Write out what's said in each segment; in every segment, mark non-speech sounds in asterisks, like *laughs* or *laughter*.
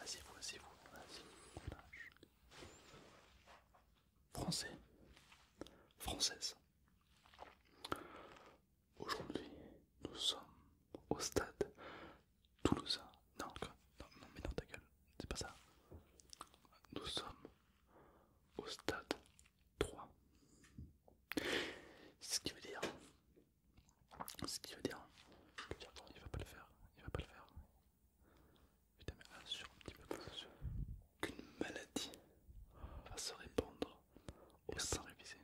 Asseyez-vous, asseyez-vous, Français, française. Aujourd'hui, nous sommes au stade Toulouse non, non, mais non, ta gueule, c'est pas ça. Nous sommes au stade 3. Ce qui veut dire. Ce qui veut dire. il va pas le faire, il va pas le faire. Putain, mais assure un petit peu Qu'une maladie va se répandre au sein révisé.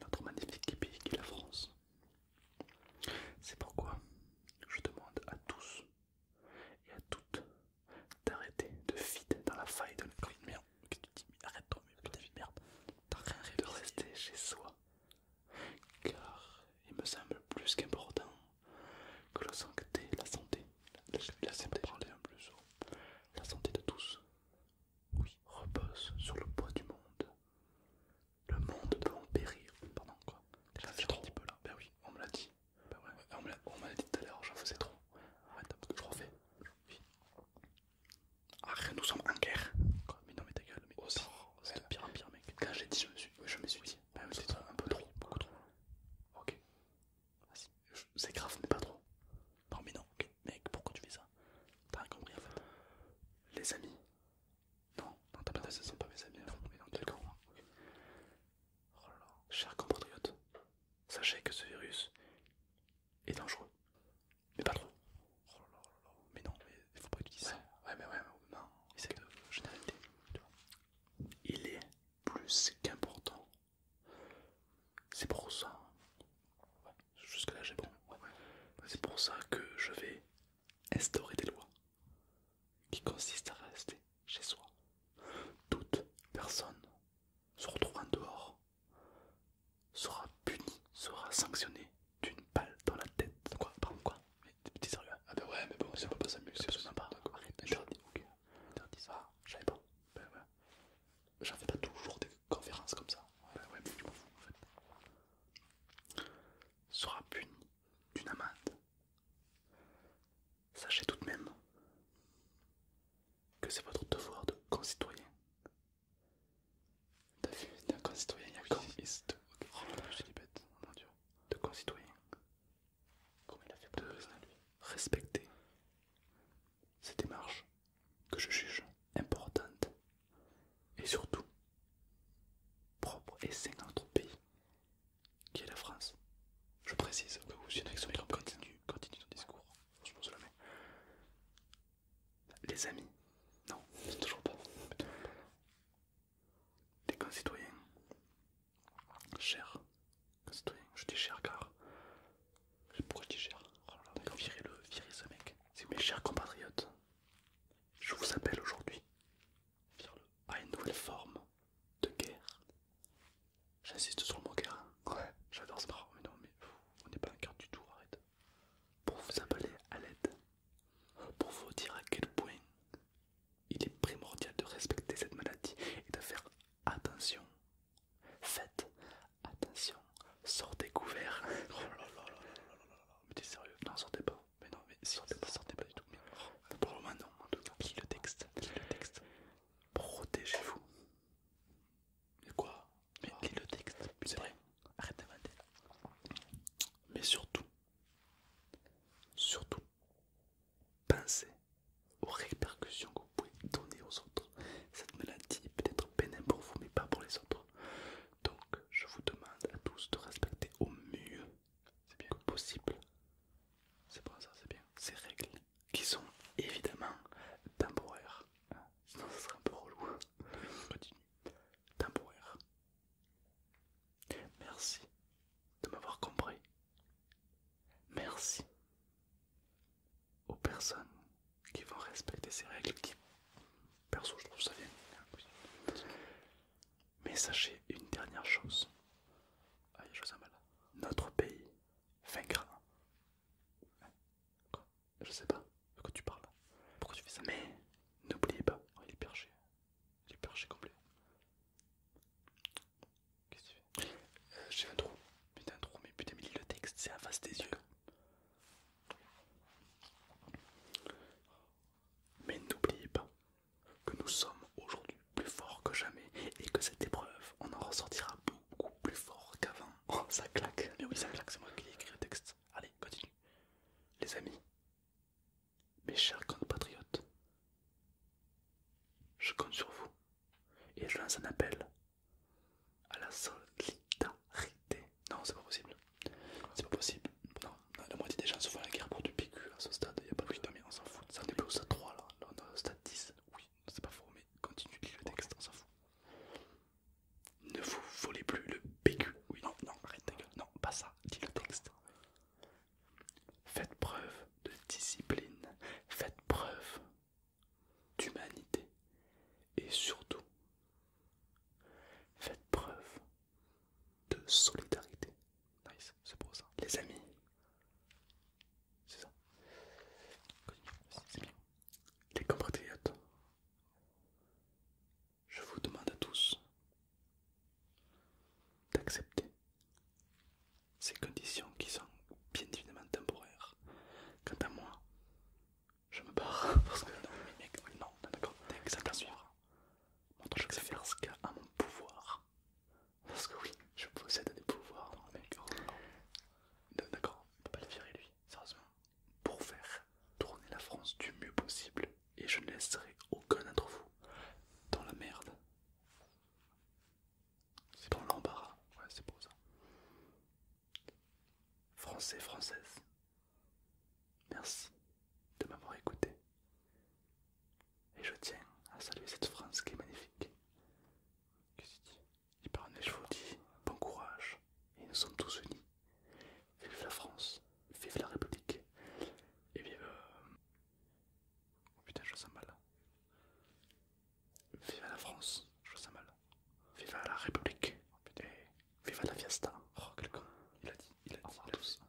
Notre magnifique pays qui est la France. C'est pourquoi je demande à tous et à toutes d'arrêter de fitter dans la faille de la de Merde, que tu dis, arrête-toi, de merde, t'as rien de rester chez soi. Car il me semble plus qu'important que la santé, la santé, la, santé, la santé de tous, oui, repose sur le poids du monde. Le monde peut en périr. Pardon, quoi. T'es là trop. Un petit peu, là. Ben oui, on me l'a dit. Ben ouais, on me l'a dit tout à l'heure, j'en faisais trop. arrête parce que je refais. Ah, nous sommes en guerre. mais non, mais ta gueule, mais oh, c'est pire en pire, mec. Quand j'ai dit, je me suis, je me suis dit. Ben c'est un peu trop. beaucoup trop. Ok. C'est grave, mais pas trop. Non, mais non, ok. Mec, pourquoi tu fais ça T'as rien compris en fait. Les amis, non, non, t'as ah, pas ce sont pas mes amis mais dans quelques mois. Oh là chers compatriotes, sachez que ce virus est dangereux, mais pas trop. Oh là là mais non, mais il faut pas utiliser ouais, ça. Ouais, mais ouais, mais non, essaye que de généralité. Il est plus qu'important. C'est pour ça Jusque là j'ai bon. C'est pour ça que je vais instaurer des lois qui consistent à rester chez soi. Toute personne se retrouvant dehors sera punie, sera sanctionnée d'une balle dans la tête. Quoi Pardon quoi Mais t'es sérieux Ah bah ouais mais bon si on peut pas s'amuser, c'est sympa. pas. leur dis, ok. ça. Ah, j'avais pas. Ben ouais. J'en fais pas toujours des conférence comme ça. Ouais, ouais, mais je m'en fous en fait. Sera puni d'une amende. Sachez tout de même que c'est votre devoir de concitoyen. T'as un concitoyen, il y a oui, oh, oh De concitoyen. comme il a fait pour lui Respecter cette démarche que je juge importante et surtout propre et saine dans notre pays, qui est la France. Je précise que vous continue, continue ton discours. Je Les amis, non, toujours pas. Les concitoyens, chers concitoyens, je dis chers car pourquoi tu On va virez le, virez ce mec. C'est mes chers compatriotes. Je vous appelle aujourd'hui à une nouvelle forme de guerre. J'insiste sur le mot guerre. Hein. Ouais, j'adore ce marrant, mais non, mais on n'est pas un cœur du tout, arrête. Pour vous appeler à l'aide, pour vous dire à quel point il est primordial de respecter cette maladie et de faire attention Faites attention, sortez couverts. *laughs* Oh là là Mais t'es sérieux Non, sortez pas. Mais non, mais sortez pas, sortez pas du tout. Oh. pour le moment, non, en tout cas. Lis le texte, lis le texte. Protégez-vous. Mais quoi Mais ah. lis le texte, c'est vrai. Arrête d'inventer. Mais surtout, surtout, pensez aux répercussions que vous pouvez donner aux autres. Cette maladie peut être pénible pour vous, mais pas pour les autres. Donc, je vous demande à tous de respecter au mieux, c'est bien possible, c'est pour ça, c'est bien, ces règles qui sont évidemment temporaires. Sinon, ça serait un peu relou. continue. Temporaire. Merci de m'avoir compris. Merci aux personnes qui vont respecter ces règles, qui, perso, je trouve ça bien. Mais sachez une dernière chose. Ah, Notre pays vaincra. Je sais pas de quoi tu parles. Pourquoi tu fais ça Mais n'oubliez pas, il est perché. Il est perché complet. Qu'est-ce que tu fais euh, J'ai un trou. Putain, un trou, mais putain, mais lis le texte, c'est à face des yeux. Mais n'oubliez pas que nous sommes aujourd'hui plus forts que jamais et que cette épreuve, on en ressortira beaucoup plus fort qu'avant. *laughs* Oh, ça claque. Mais oui, ça claque, c'est moi qui ai écrit le texte. Allez, continue. Les amis, mes chers compatriotes, je compte sur vous et je lance un appel à la solidarité. Non, c'est pas possible. C'est pas possible. Non, la moitié des gens se font la guerre pour du PQ à ce stade. Il a pas vu de mais on s'en fout. Ça en est plus stade 3 là. Là, on est au stade 10. Oui, c'est pas faux, mais continue lis le texte, on s'en fout. Ne vous volez plus le PQ. Oui, non, non, arrête ta gueule. Non, pas ça. Dis le texte. Faites preuve de discipline, faites preuve d'humanité et surtout faites preuve de solidarité. Nice, c'est pour ça. Les amis, c'est ça. Les compatriotes, je vous demande à tous d'accepter ces conditions qui sont bien évidemment temporaires. Quant à moi, je me barre *laughs* parce que non, D'accord, mec, non, d'accord, suivre. Mon truc, faire ce qu'il a à mon pouvoir. Parce que oui, je possède des pouvoirs, oh, D'accord, on peut pas le virer lui, sérieusement. Pour faire tourner la France du mieux possible, et je ne laisserai aucun d'entre vous dans la merde. C'est dans l'embarras, ouais, c'est pour ça. Français, française, merci de m'avoir écouté. Et je tiens à saluer cette France qui est magnifique. Qu'est-ce qu'il dit Il parle, je vous dis bon courage, et nous sommes tous unis. Vive la France, vive la République, et vive... Euh, oh Putain, je sens mal. Vive la France, je ça mal. Vive la République, oh putain. Vive la fiesta. Oh, quel Il a dit, il a dit. à tous.